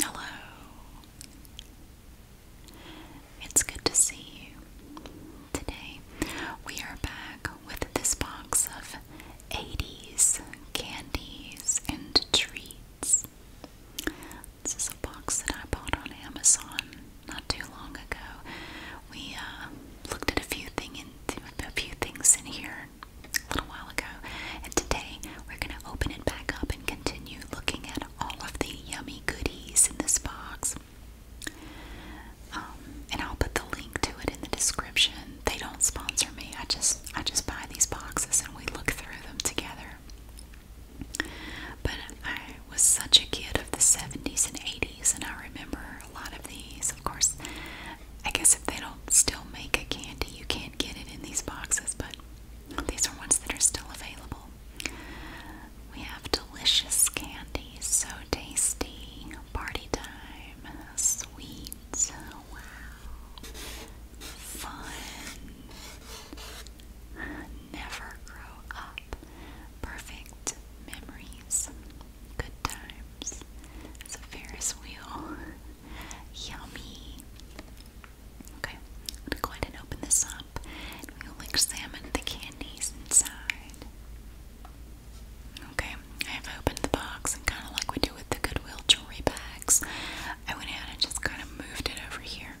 Hello. It's good to see you. Today we are back with this box of 80s candies and treats. This is a box that I bought on Amazon not too long ago. We uh, looked at a few thing into a few things in here a little while ago, and today we're going to open it back up and continue looking at all of the yummy goodies in this box. Um, and I'll put the link to it in the description. They don't sponsor me. I just I just buy these boxes and we look through them together. But I was such a kid of the 70s and 80s, and I remember are a lot of these. Of course, I guess if they don't still make a candy, you can't get it in these boxes, but these are ones that are still available. We have delicious candy, so tasty, party time, sweet, wow, fun, never grow up perfect memories, good times. It's a Ferris wheel. Yummy. Okay, I'm gonna open this up we'll examine the candies inside. Okay, I have opened the box and kind of like we do with the Goodwill jewelry bags, I went ahead and just kind of moved it over here.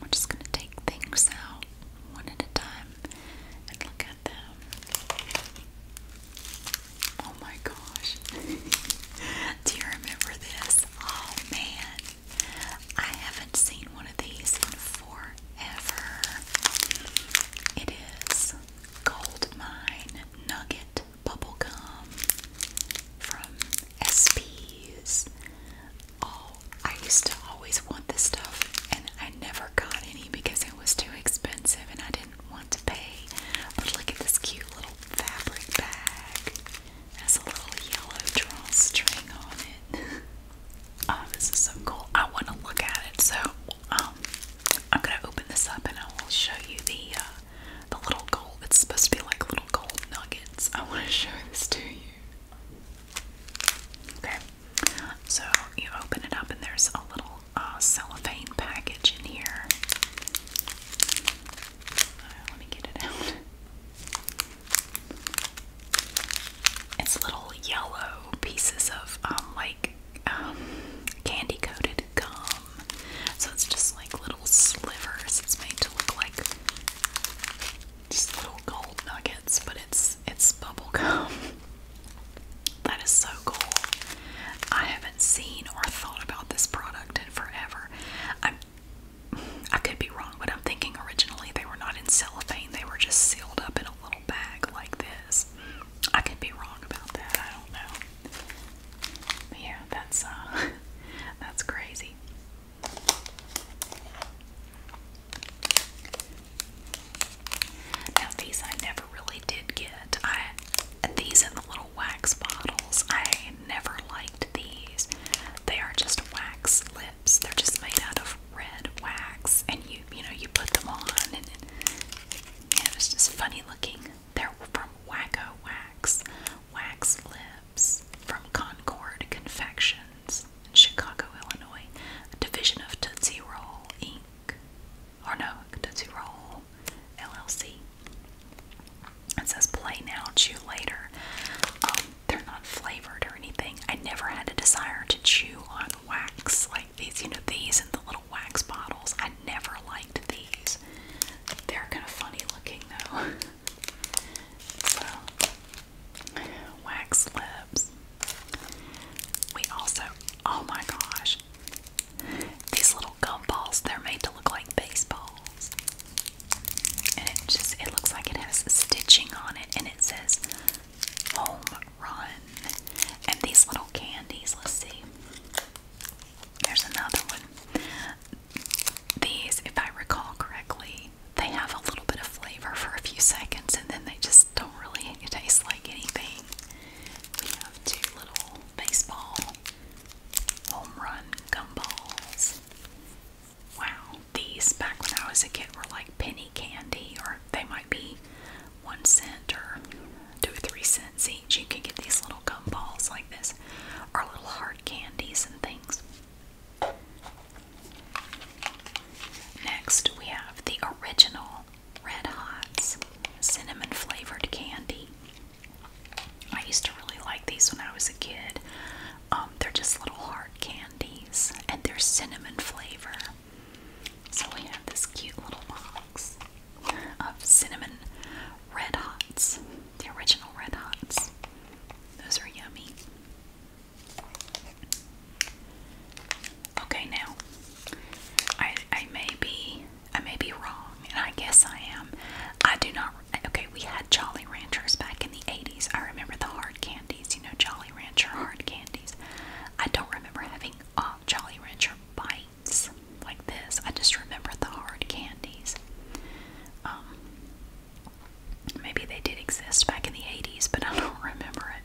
We're just gonna take things out one at a time and look Oh my gosh. Do you remember this? Oh man. I haven't seen one of these in forever. It is Goldmine Nugget Bubblegum from SP's. Oh, I used to always want this stuff and I never got any because it was too expensive and I didn't want to pay. But look at this cute little fabric bag. It has a little yellow drawstring on it. oh, this is so cool. I want to look at it. So um, I'm going to open this up and I will show you the, uh, the little gold. It's supposed to be like little gold nuggets. I want to show this to you. Okay. So you open it up, and there's a little uh, cellophane package in here. Uh, let me get it out. It's little yellow pieces of um, like um, candy coated gum. So it's just like little slivers. It's made to look like just little gold nuggets, but it's it's bubble gum. that is so cool. I haven't seen or thought about this product in forever. I I could be wrong, but I'm thinking originally they were not in cellophane. They were just sealed up in a little bag like this. I could be wrong about that. I don't know. But yeah, that's uh that's crazy. Now these I never really did get. these in the little wax bottles. I never liked these. They are just wax lips. They're just made out of red wax, and you you know you put them on, and it's just funny looking. They're from Wacko Wax, wax lips from Concord Confections. Chicago, Illinois, a division of Tootsie Roll Inc. Or no, Tootsie Roll LLC. It says play now, chew later. Um, they're not flavored or anything. I never had a desire to chew on wax like these, you know, these and the little wax bottles. I never liked these. They're kind of funny looking though. so, wax we also, oh my gosh, these little gumballs, they're made to look like baseballs. And it just, it looks like it has stitching on it and it says home run. And these little candies, let's see. There's another one. These, if I recall correctly, they have a little bit of flavor for a few seconds and then they just don't really it tastes like anything. We have two little baseball home run gumballs. Wow, these back when I was a kid were like penny candy, or they might be one cent or two or three cents each. You can get these little gumballs like this, or little hard candies and things. Next, we have the original Red Hots cinnamon flavored candy. I used to really like these when I was a kid. Um, they're just little hard candies and they're cinnamon flavor. So we have this cute little box of cinnamon red hots, the original red hots. Those are yummy. Okay, now I I may be I may be wrong, and I guess I am. I do not. Okay, we had Jolly Ranchers back in the '80s. I remember the hard candies. You know, Jolly Rancher hard candies. I don't remember having uh, Jolly Rancher bites like this. I just remember the hard candies. Um, maybe they did exist back in the '80s, but I don't remember it.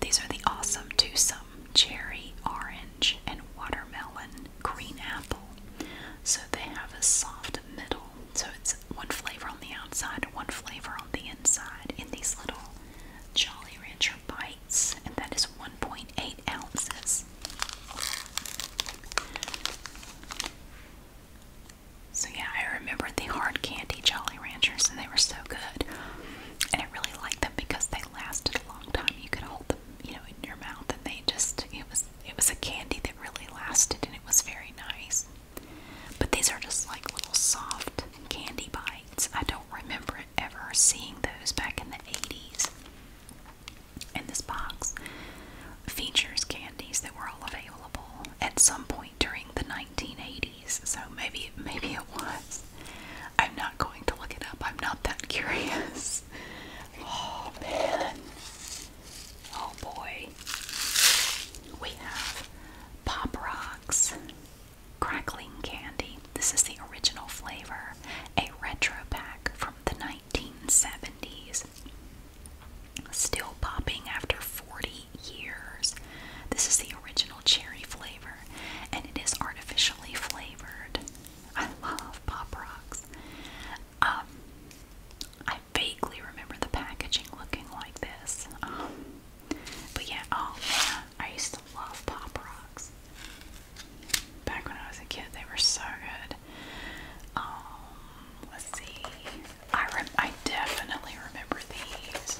These are the awesome two-some cherry, orange, and watermelon green apple. So they have a soft middle. So it's one flavor on the outside, one flavor on the inside in these little Jolly Rancher bites, and that is 1.8 ounces. So, yeah, I remember the hard candy Jolly Ranchers, and they were so good. And I really liked them because they lasted a long time. You could hold them, you know, in your mouth, and they just it was it was a candy that really lasted, and it was very nice. But these are just like little soft candy bites. I don't remember ever seeing those back in the 80s. And this box features candies that were all available at some point during the 1980s so maybe maybe it was. I'm not going to look it up. I'm not that curious. Oh man. Oh boy. We have Pop Rocks crackling candy. This is the original flavor, a retro pack from the 1970s. Still popping after 40 years. This is the original cherry flavor, and it is artificially flavored. I love Pop Rocks. Um, I vaguely remember the packaging looking like this. Um, but yeah, oh man, I used to love Pop Rocks. Back when I was a kid, they were so good. Um, let's see. I, rem I definitely remember these.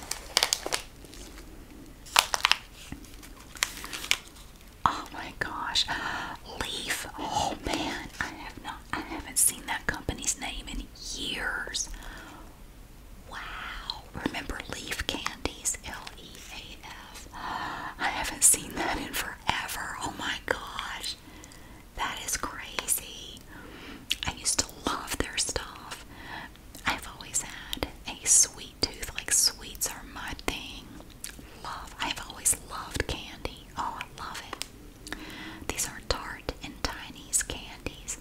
Oh my gosh, Leaf. Oh man, I have not. I haven't seen that company's name in years. Wow. Remember Leaf Candies? L E A F. I haven't seen that in forever. Oh my gosh. That is crazy. I used to love their stuff. I've always had a sweet tooth. Like sweets are my thing. Love. I've always loved candy. Oh, I love it. These are tart and tiny's candies.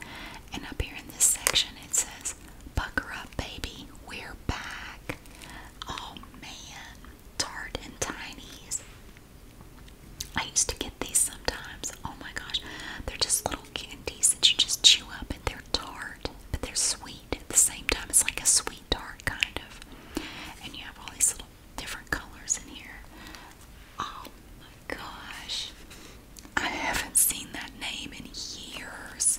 And up here in this section it says, Bucker up, baby. We're back. Oh man. Tart and tiny's. I used to get these sometimes. Oh my gosh. They're just little candies that you just chew up and they're tart, but they're sweet at the same time. It's like a sweet tart kind of. And you have all these little different colors in here. Oh my gosh. I haven't seen that name in years.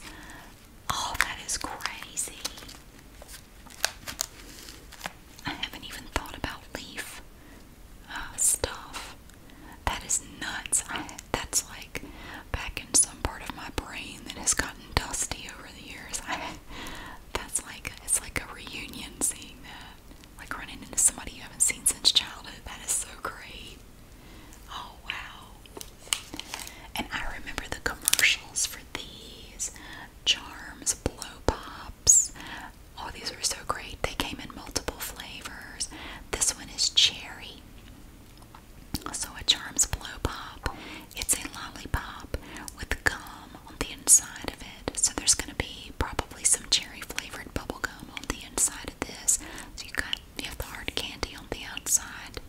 Oh, that is crazy. I haven't even thought about leaf uh, stuff. That is nuts. that's like back in some part of my brain that has gotten dusty over the years. that's like it's like a reunion seeing that. Like running into somebody you haven't seen since childhood. That is so great. Oh wow. And I remember the commercials for these charms, blow pops. All oh, these were so great. They came in multiple flavors. This one is cherry. So a Charms Blow Pop, it's a lollipop with gum on the inside of it. So there's going to be probably some cherry flavored bubble gum on the inside of this. So you have got you have the hard candy on the outside,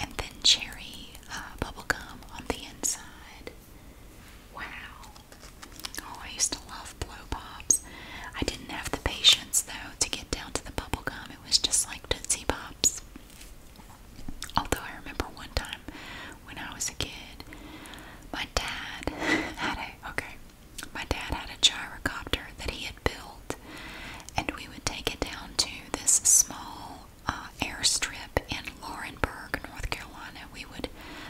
and then cherry uh, bubble gum on the inside. Wow! Oh, I used to love blow pops. I didn't have the patience though to get down to the bubblegum. It was just like Tootsie Pops. Although I remember one time when I was a kid, my dad had a okay. My dad had a gyrocopter that he had built, and we would take it down to this small uh, airstrip in Laurenburg, North Carolina. We would,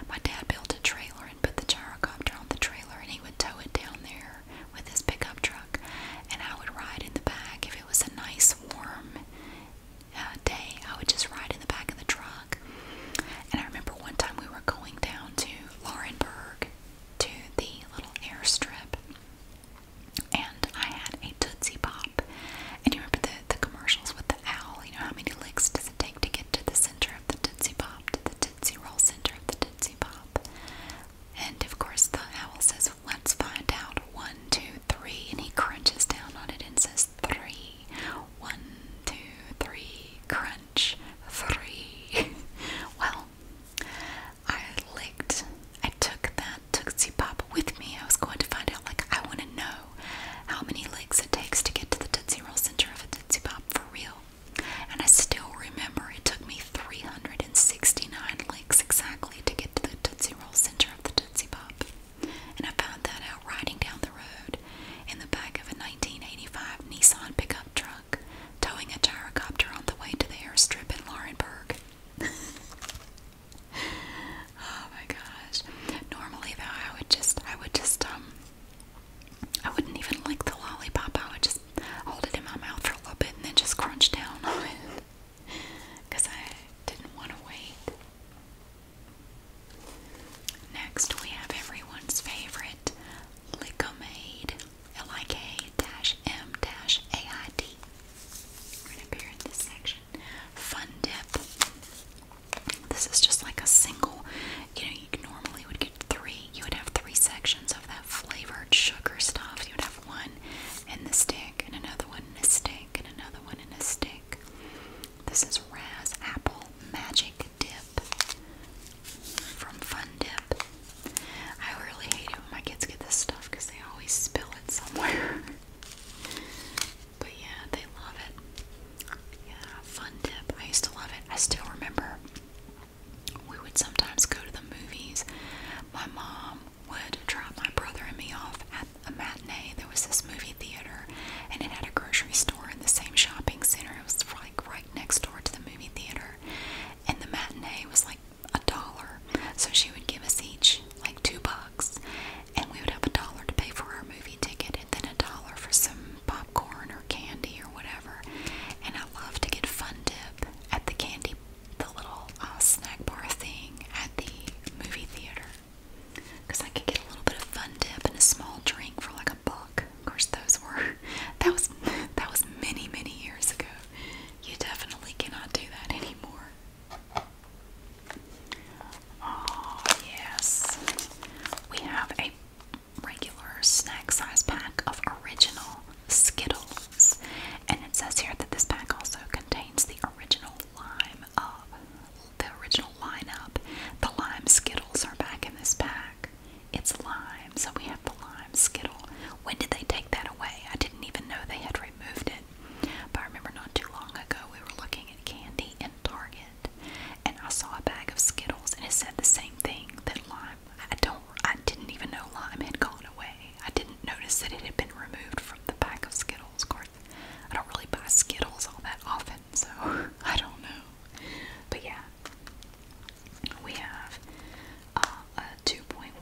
my dad built a trailer and put the gyrocopter on the trailer, and he would tow it down there with his pickup truck and I would ride in the back if it was a nice warm uh, day. I would just ride in the back of the truck. And I remember one time we were going down to Laurenburg to the little airstrip, and I had a Tootsie Pop. And you remember the, the commercials with the owl? You know, how many licks does it take to get to the center of the Tootsie Pop, to the Tootsie Roll center of the Tootsie Pop? And of course, the owl says, Let's find out. One, two, three. And he crunches down on it and says, Three. One, two, three. Crunch. Three. well, I licked. I took that Tootsie Pop with me. I was going to find out, like, I want to know how many licks it takes to get to the Tootsie Roll Center of a Tootsie Pop for real. And I still remember it took me 369 licks exactly to get to the Tootsie Roll center of the Tootsie Pop. And I found that out riding down the road in the back of a 1985 Nissan pickup truck, towing a gyrocopter on the way to the airstrip in Laurenburg. oh my gosh. Normally though I would just I would just um I wouldn't even lick the lollipop, I would just just hold it in my mouth for a little bit and then just crunch down on it because I didn't want to wait. Next, we have everyone's favorite Licomade, L-I-K-M-A-I-D. Right up here in this section. Fun Dip. This is just like a single, you know, you normally would get three you would have three sections of that flavored sugar stuff. You would have one in the stick, and another one in a stick, and another one in a stick. This is Raz Apple Magic Dip from Fun Dip. I really hate it my kids get this stuff because they always spill it somewhere. but yeah, they love it. Yeah, Fun Dip. I used to love it. I still remember we would sometimes go to the movies. My mom would drop my brother and me off at a matinee. There was this movie theater, and it had a grocery store in the same shopping center. It was like right next door to the movie theater, and the matinee was like a dollar. So she would give us each like two bucks, and we would have a dollar to pay for our movie ticket, and then a dollar for some popcorn or candy or whatever. And I love to get fun dip at the candy, the little uh, snack bar thing at the movie theater. Because I could get a little bit of fun dip and a small drink for like a buck. Of course, those were that was that was many many years ago. You definitely cannot do that anymore. Oh yes, we have a regular snack size pack of original Skittles. And it says here that this pack also contains the original lime of the original lineup. The lime Skittles are back in this pack. It's lime, so we have the lime Skittle. When did they take that away? I didn't even know they had removed it. But I remember not too long ago we were looking at candy in Target and I saw a bag of Skittles and it said the same thing that lime lime. I don't. I didn't even know lime had gone away. I didn't notice that it had been removed from the pack of Skittles. Of course, I don't really buy Skittles all that often, so I don't know. But yeah, we have uh, a 2.17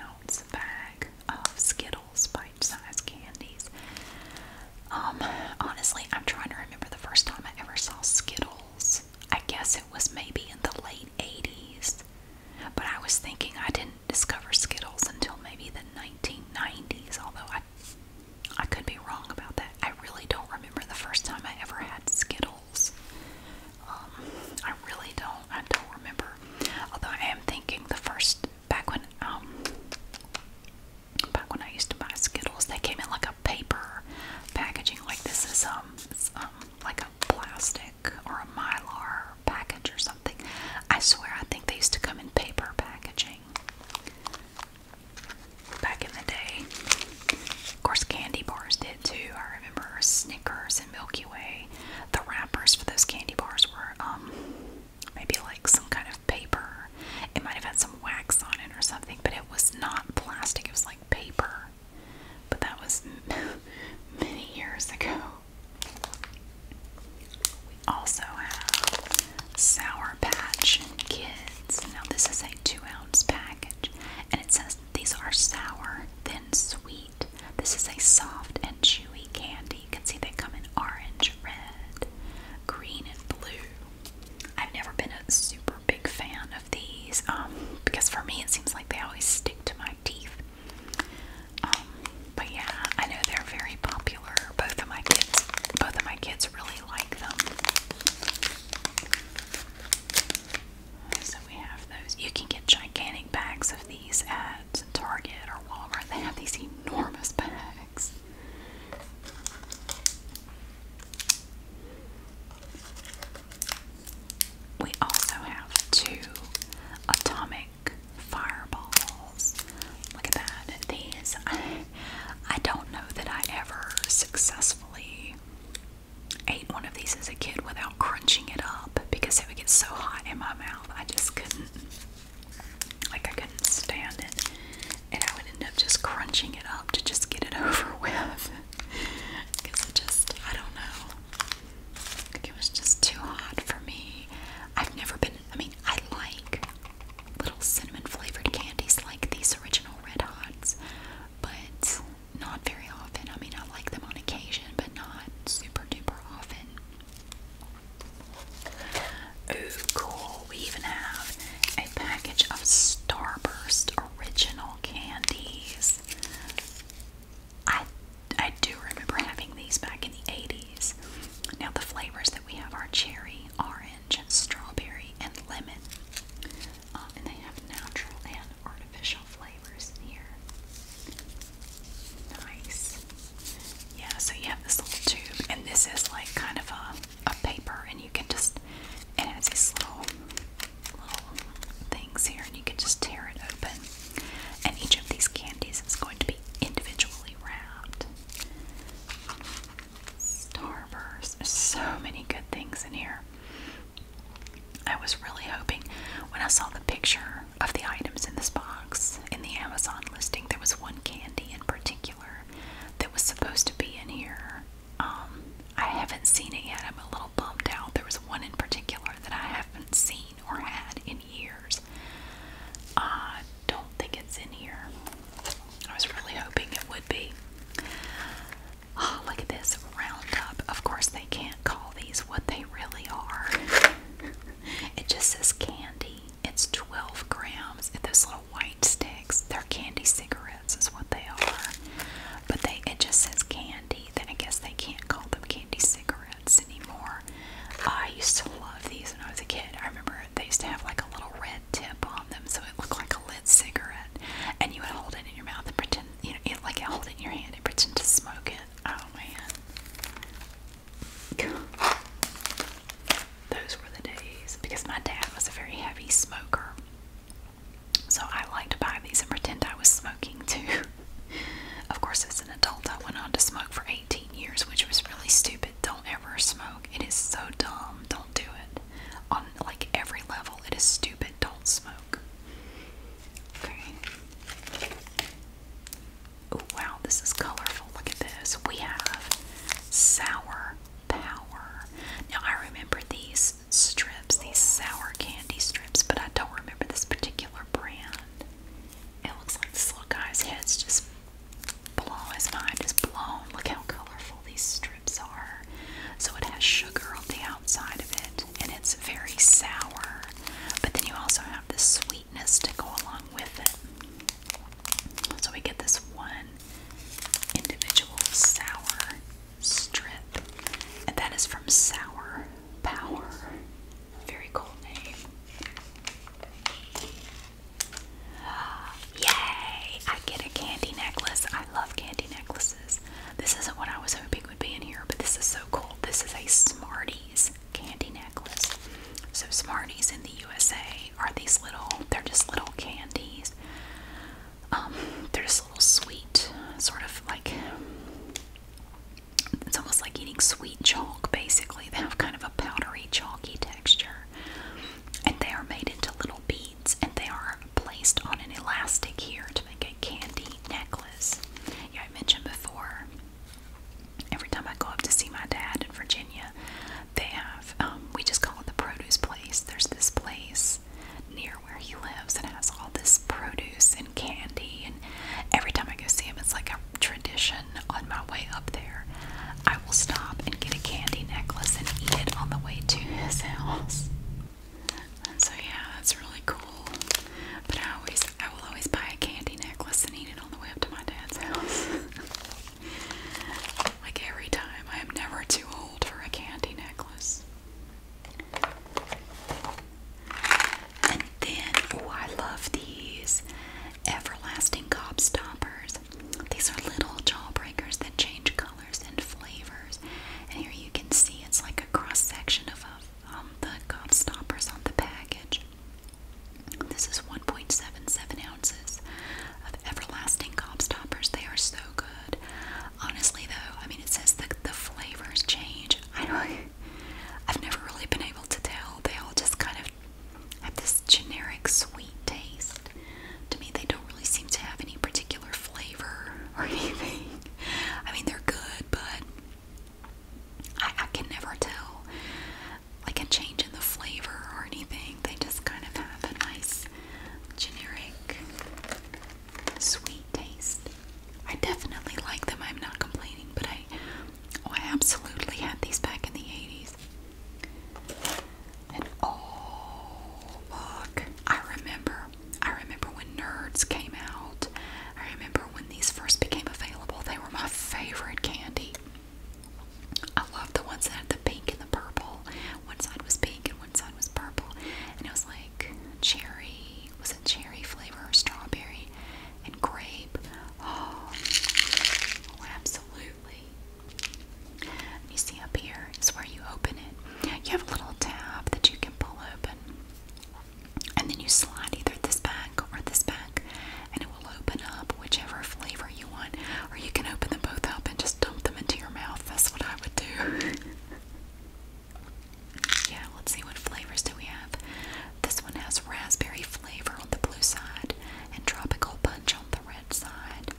ounce bag of Skittles bite-sized candies. Um, honestly, I'm trying to remember the first time I ever saw Skittles was, I guess it was maybe in the late 80s, but I was thinking I didn't discover Skittles until maybe the 1990s, although I, I could be wrong about that. I really don't remember the first time I ever had Skittles. Um, I really don't. I don't remember. Although I am thinking the first back when um back when I used to buy Skittles, they came in like a paper packaging like this is um, um like a plastic or a mylar package or something. I swear, I think they used to come in paper packaging back in the day. Of course, candy bars did too. I remember Snickers and Milky Way. The wrappers for those candy bars were um, maybe like some kind of paper. It might have had some wax on it or something, but it was not plastic, it was like paper. But that was many years ago. We also have Sour Patch Kids. Now, this is a two ounce package, and it says these are sour, then sweet. This is a soft and chewy candy. You can see they come in orange, red, green, and blue. I've never been a super big fan these um, because for me it seems like they always stick to my teeth. Um, but yeah, I know they're very popular. Both of my kids, both of my kids really like them. So we have those. You can get gigantic bags of these at Target or Walmart. They have these enormous bags. We also have two atomic fireballs. Look at that. These, I, don't know that I ever successfully ate one of these as a kid without crunching it up because it would get so hot in my mouth. I just couldn't, like, I couldn't stand it. And I would end up just crunching it up to just get it over with. Because I just, I don't know. It was just too hot for me. I've never been, I mean, I like little cinnamon flavored candies like these original Red Hots, but not very often. I mean, I like them on occasion, but not super duper often. Ooh, cool. We even have a package of Starburst original candies. I I do remember having these back in the 80s. Now the flavors that we have are cherry, orange, strawberry, and lemon. Um, and they have natural and artificial flavors in here. Nice. Yeah, so you have this little tube, and this is like kind of a, a paper, and you can just, and it's a slow things here, and you can just tear it open. And each of these candies is going to be individually wrapped. Starburst. so many good things in here. I was really hoping when I saw the picture of the items in this box in the Amazon listing, there was one candy in particular that was supposed to be in here. Um, I haven't seen it yet. I'm a little bummed out. There was one in particular that I haven't seen or had in years. I don't think it's in here. I was really hoping it would be. Oh, look at this roundup. Of course, they can't call these what they really are. it just says candy. It's 12 grams. It's those little white sticks. They're candy cigarettes, is what they are. But they it just says candy teeth. I guess they can't call them candy cigarettes anymore. I used to love these when I was a kid. I remember they used to have like a little red tip on them, so it looked like a lit cigarette. And you would hold it in your mouth and pretend, you know, it, like hold it in your hand and pretend to smoke it. Oh man. Those were the days because my dad was a very heavy smoker. So I like to buy these and pretend I was smoking too. of course, as an adult, I went on to smoke for 18 years, which was really stupid. Don't ever smoke. It is so dumb. Don't do it. On like every level, it is stupid. Don't smoke. Okay. Oh wow, this is colorful. Look at this. We have sour power. Now I remember these strips, these sour candy strips, but I don't remember this particular brand. It looks like this little guy's head's just blown, his mind is blown. Look how colorful these strips are. So it has sugar on the outside of it, and it's very sour, but then you also have the sweetness to go along with it. So we get this one individual sour strip, and that is from Sour Power. Very cool name. Yay! I get a candy necklace. I love candy necklaces. This isn't what I was hoping would be in here, but this is so cool. This is a Smarties candy necklace. So, Smarties in the USA are these little, they're just little candies. Um, they're just little sweet, sort of like it's almost like eating sweet chalk, basically. They have kind of a powdery, chalky texture. And they are made into little beads and they are placed on an elastic here to make a candy necklace. Yeah, I mentioned before, every time I go up to see my dad in Virginia, they have, um, we just call it the produce place. There's this place is near where he lives and has all this produce and candy. And every time I go see him, it's like a tradition on my way up there. I will stop and get a candy necklace and eat it on the way to his house. And so yeah, that's really cool. But I always, I will always buy a candy necklace and eat it on the way up to my dad's house. like every time, I am never too old for a candy necklace. And then, oh, I love these everlasting gobstoppers. These are little jawbreakers that change colors and flavors. And here you can see it's like a cross section of a, um, the gobstoppers on the package. This is 1.77 ounces of everlasting Stoppers. They are so good. Honestly, though, I mean, it says the the flavors change. I know I've never really been able to tell. They all just kind of have this generic sweet taste. To me, they don't really seem to have any particular flavor or anything. I mean, they're good, but I can never tell like a change in the flavor or anything. They just kind of have a nice generic sweet taste. I definitely like them. I'm not complaining, but I oh, I absolutely had these back in the 80s. And oh, look. I remember. I remember when Nerds came out. I remember when these first became available. They were my favorite candy. I love the ones that had the pink and the purple. One side was pink and one side it was purple and it was like cherry, was it cherry flavor or strawberry and grape? Oh, absolutely. you see up here is where you open it. You have a little tab that you can pull open. And then you slide either this back or this back, and it will open up whichever flavor you want. Or you can open them both up and just dump them into your mouth. That's what I would do. Yeah, let's see what flavors do we have. This one has raspberry flavor on the blue side and tropical punch on the red side.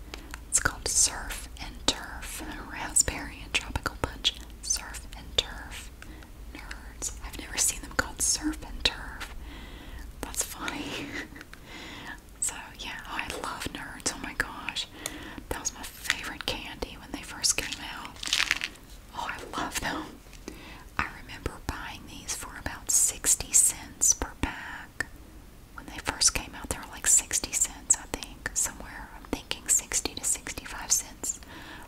It's called Surf and Turf. Raspberry and tropical punch. Surf and turf. Nerds. I've never seen them called surf and turf. That's funny. so yeah, I love nerds. Oh my gosh. That was my favorite candy when they first came out. Oh, I love them. I remember buying these for about 60 cents per pack. When they first came out, they were like 60 cents, I think, somewhere. I'm thinking 60 to 65 cents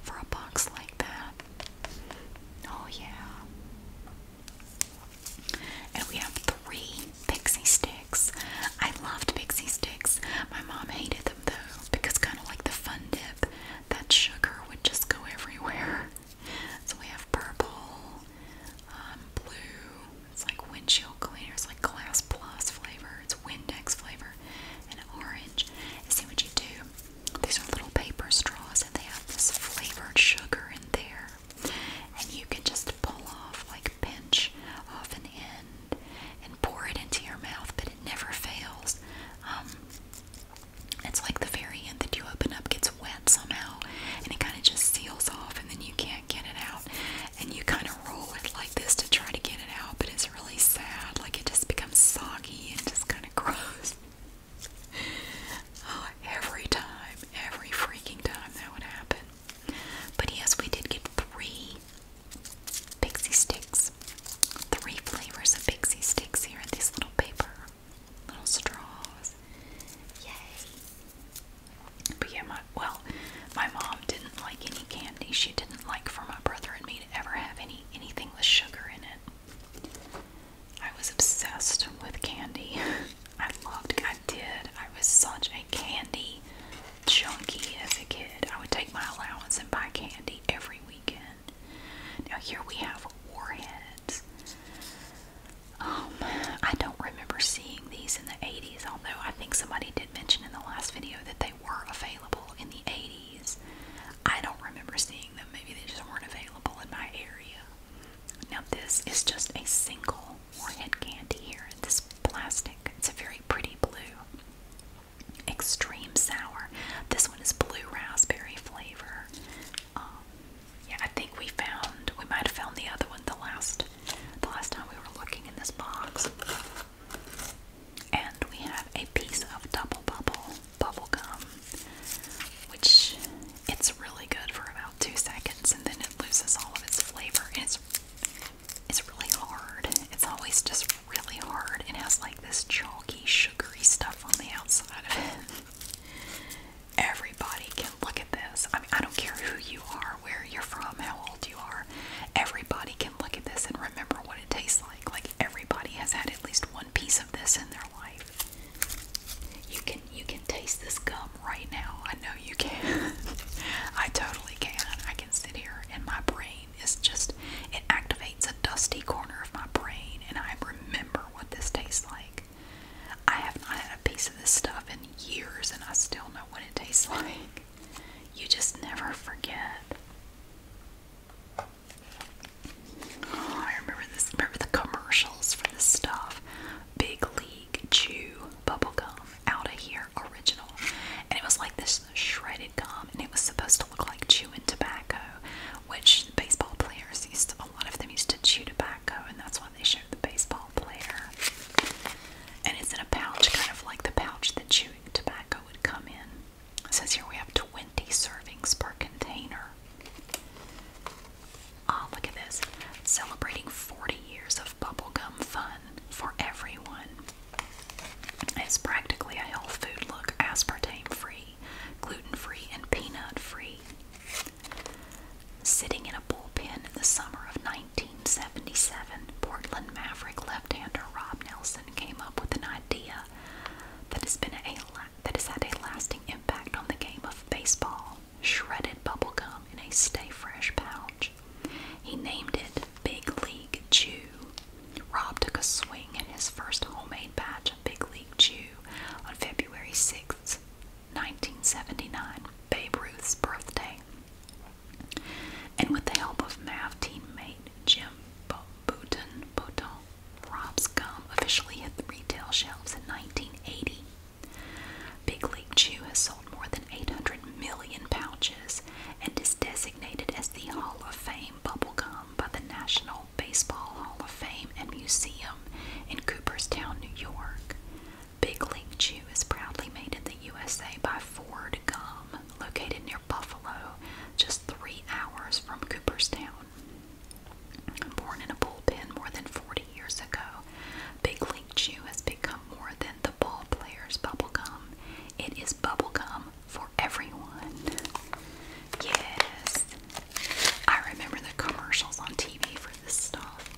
for a box like that. Oh, yeah. And we have three pixie sticks. I loved pixie sticks. My mom hated them though, because kind of like the fun dip, that sugar would just go everywhere. So we have purple, um, blue, it's like windshield cleaner, it's like glass plus flavor, it's Windex flavor, and orange. And see what you do? These are little paper straws, and they have this flavored sugar in there. And you can just pull off, like pinch off an end, and pour it into your mouth, but it never fails. Um, it's like the very end that you open up gets wet somehow, and it kind of just seals off, and then you can't get it out. And you kind of roll it like this to try to get it out, but it's really sad. Like it just becomes soggy and just kind of gross. Oh, every time, every freaking time that would happen. But yes, we did get three pixie sticks. Three flavors of pixie sticks here in these little paper, little straws. Yay! But yeah, my well, my mom didn't like any candy. She didn't like for my brother and me to ever have any anything with sugar in it. I was obsessed with candy. I loved. I did. I was such a candy junkie as a kid. I would take my allowance and buy candy every weekend. Now here we have warheads. Um, I don't remember seeing these in the 80s, although I think somebody did mention in the last video that they were available in the 80s. I don't remember seeing them. Maybe they just weren't available in my area. Now this is just a single warhead candy here. This plastic. It's a very pretty blue extreme sour. This one is blue raspberry flavor. Um, yeah, I think we found we might have found the other one the last the last time we were looking in this box. And we have a piece of double bubble bubble gum, which it's really good for about two seconds, and then it loses all of its flavor. it's it's really hard. It's always just really hard. It has like this chalky, sugary stuff on the outside of it. Everybody can look at this. I mean, I don't care who you are, where you're from, how old you are. Everybody can look at this and remember what it tastes like. Like everybody has had at least one piece of this in their life. You can you can taste this gum right now. I know you can. I totally can. I can sit here in my brain it's just, it activates a dusty corner of my brain and I remember what this tastes like. I have not had a piece of this stuff in years and I still know what it tastes like. You just never forget. Oh, I remember this. Remember the commercials for this stuff. Big League Chew Bubblegum Out of Here Original. And it was like this shredded gum and it was supposed to look like chewing tobacco, which baseball players used to, a lot of them used to chew tobacco and that's why they showed the baseball player. And it's in a pouch, kind of like the pouch that chewing tobacco would come in. It says here we have 20 servings per container. Oh, look at this. Celebrating 40 years of bubblegum fun for everyone. It's practically a health food look, aspartame free, gluten free, and peanut free. Sitting in a bullpen in the summer of 1977, Portland Maverick left hander Rob Nelson came up with an idea that has, been a, that has had a lasting impact on the game of baseball shredded bubblegum in a stay fresh pouch. He named it Big League Chew Rob took a swing in his first homemade batch of Big League Chew on February sixth, 1979, Babe Ruth's birthday. And with the help of MAV teammate Jim Bouton, Bouton, Rob's gum officially hit the retail shelves in 1980. Big League Chew has sold more than 800 million pouches and is designated as the Hall of Fame nickname Bubblegum by the National Baseball Hall of Fame and Museum in Cooperstown, New York. Big League Chew is proudly made in the USA by Ford Gum, located near Buffalo, just three hours from Cooperstown. Born in a bullpen more than 40 years ago, Big League Chew has become more than the ball bubblegum. It is bubblegum for everyone. Yes. I remember the commercials on TV for this stuff.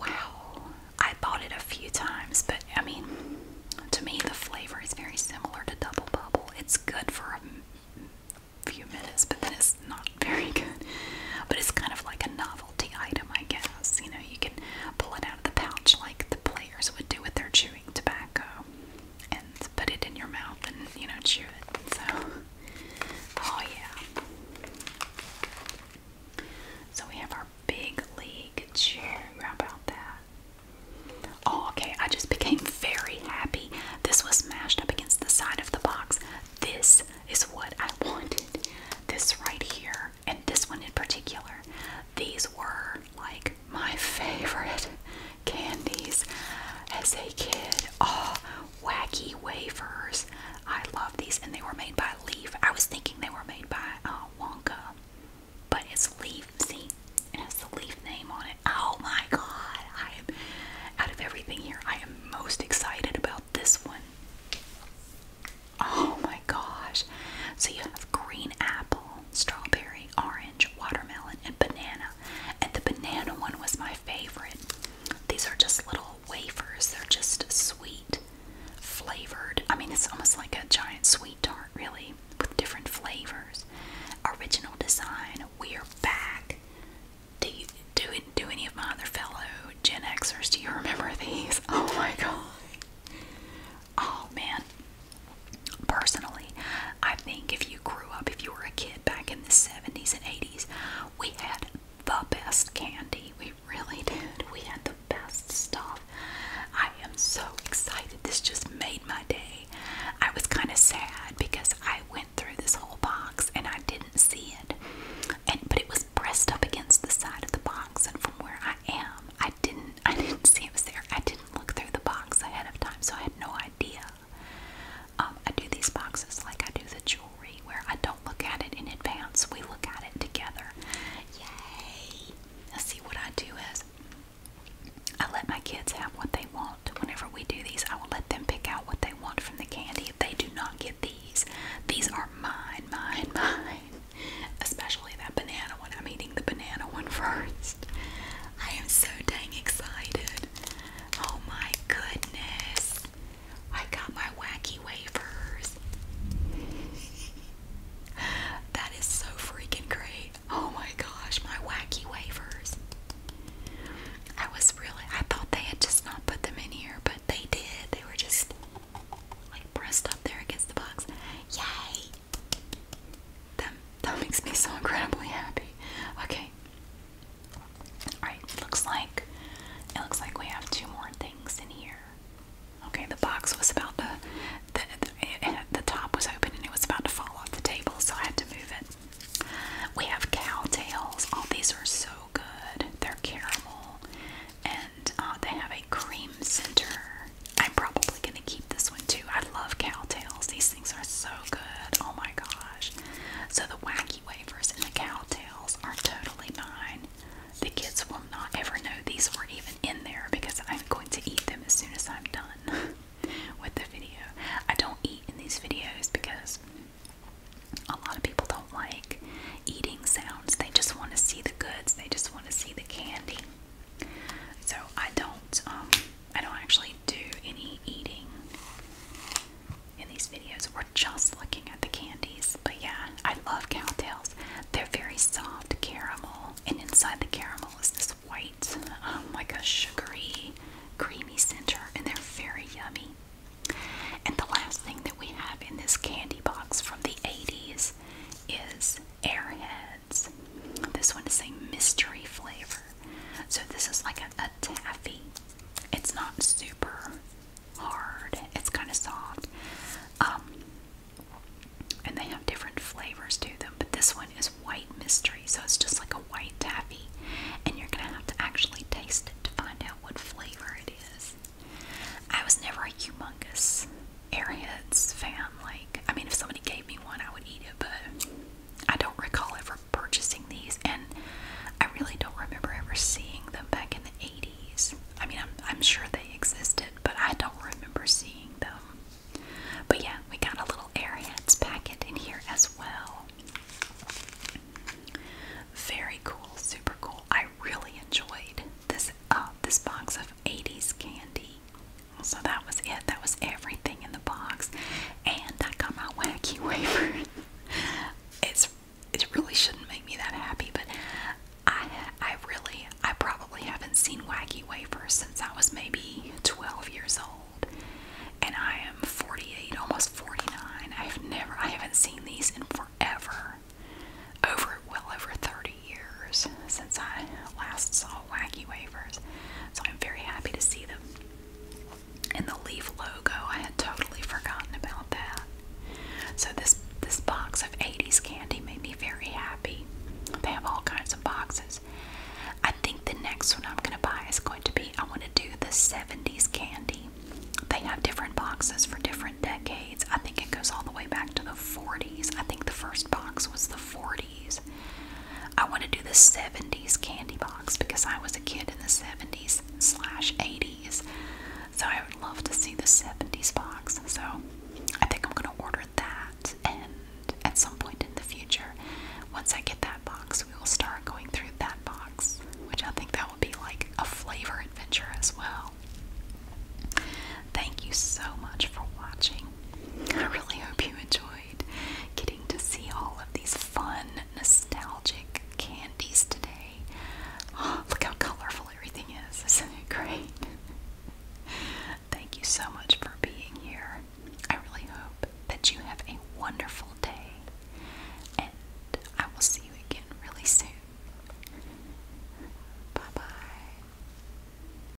Wow. I bought it a few times, but I mean, to me, the flavor is very similar to Double Bubble. It's good for a few minutes, but then it's not very good. But it's kind of like a novelty item, I guess. You know, you can pull it out of the pouch like the players would do with their chew tobacco and put it in your mouth and you know chew it. So, oh yeah. So we have our big league chew. How about that? Oh, okay. I just became very happy. This was smashed up against the side of the box. This is what I wanted. This right here, and this one in particular. These were like my favorite candies as a kid. Oh, wacky wafers. I love these, and they were made by Leaf. I was thinking they were made by uh, Wonka, but it's Leaf. See, it has the Leaf name on it. Oh my God! I am out of everything here. I am most excited about this one. Oh my my gosh. So you have green apple, strawberry, orange, watermelon, and banana. And the banana one was my favorite. These are just little wafers, they're just sweet, flavored. I mean, it's almost like a giant sweet tart, really, with different flavors. Original design. We are back. Do do Do any of my other fellow Gen Xers? Do you remember these? Oh my god! Oh man. Personally, I think if you grew up, if you were a kid back in the 70s and 80s, we had the best candy. We really did. We had the best stuff. I am so excited. This just made my day. I was kind of sad because I went through this whole box and I didn't see it. And but it was pressed up against the side of the box and from where I am. I didn't I didn't see it was there. I didn't look through the box ahead of time, so I had no idea. Um, I do these boxes like I do the jewelry where I don't look at it in advance. We look at it together. Yay! Now see what I do is I let my kids have what they want. Whenever we do these, I will let them pick out what they want from the candy. If they do not get these, these are mine, mine, mine. Especially that banana one. I'm eating the banana one first. I am so dang excited. Oh my goodness. I got my wacky wafers. that is so freaking great. Oh my gosh, my wacky wafers. I was really, I thought they had just not put them in here, but they did. They were just like pressed up there against the box. Yay! That, that makes me so incredibly happy. Okay. Alright, looks like it looks like we have two more things in here. Okay, the box was about to the the, top was open and it was about to fall off the table, so I had to move it. We have cow tails. All oh, these are so good. They're caramel, and uh, they have a cream center. I'm probably gonna keep this one too. I love cow tails. These things are so good. Oh my gosh. So the wacky wafers and the cow tails are totally mine. The kids will not ever know these were even in there because I'm going to eat them as soon as I'm done with the video. I don't eat in these videos because a lot of people don't like eating sounds. They just want to see the goods. They just want to see the candy. So I don't um, I don't actually do any eating in these videos. We're just looking at the candies. But yeah, I love tails. They're very soft caramel and inside the caramel is this white um, like a sugary creamy center and they're very yummy. And the last thing that we have in this candy box from the 80s is Airheads. This one is a mystery flavor. So this is like a, taffy. It's not super hard. It's kind of soft. Um, and they have different flavors to them. But this one is white mystery. So it's just like a white taffy. And you're going to have to actually taste it to find out what flavor it is. I was never a humongous Airheads fan. Like, I mean, if somebody gave me one, I would eat it, but I don't recall ever purchasing these, and I really don't remember ever seeing them back in the 80s. I mean, I'm, I'm sure they existed, but I don't remember seeing them. But yeah, we got a little Airheads packet in here as well. Very cool, super cool. I really enjoyed this uh, this box of 80s candy. So that was it. That was everything in the box. And I got my wacky wafer. it's it really shouldn't make me that happy, but I I really I probably haven't seen wacky wafers since I was maybe 12 years old. And I am 48, almost 49. I've never I haven't seen these in forever. Over well over 30 years since I last saw wacky wafers, so I'm very happy to see them. In the leaf logo, I had totally forgotten about that. So this this box of 80s candy made me very happy. They have all kinds of boxes. I think the next one I'm gonna buy is going to be I want to do the 70s candy. They have different boxes for different decades. I think it goes all the way back to the 40s. I think the first box was the 40s. I want to do the 70s candy box because I was a kid in the 70s slash 80s. So I would love to see the 70s box. So I think I'm going to order that. And at some point in the future, once I get that box, we will start going through that box, which I think that will be like a flavor adventure as well. Thank you so much for watching. I really hope you enjoyed getting to see all of these fun, nostalgic candies today. Oh, look how colorful everything is. great? Thank you so much for being here. I really hope that you have a wonderful day, and I will see you again really soon. Bye bye.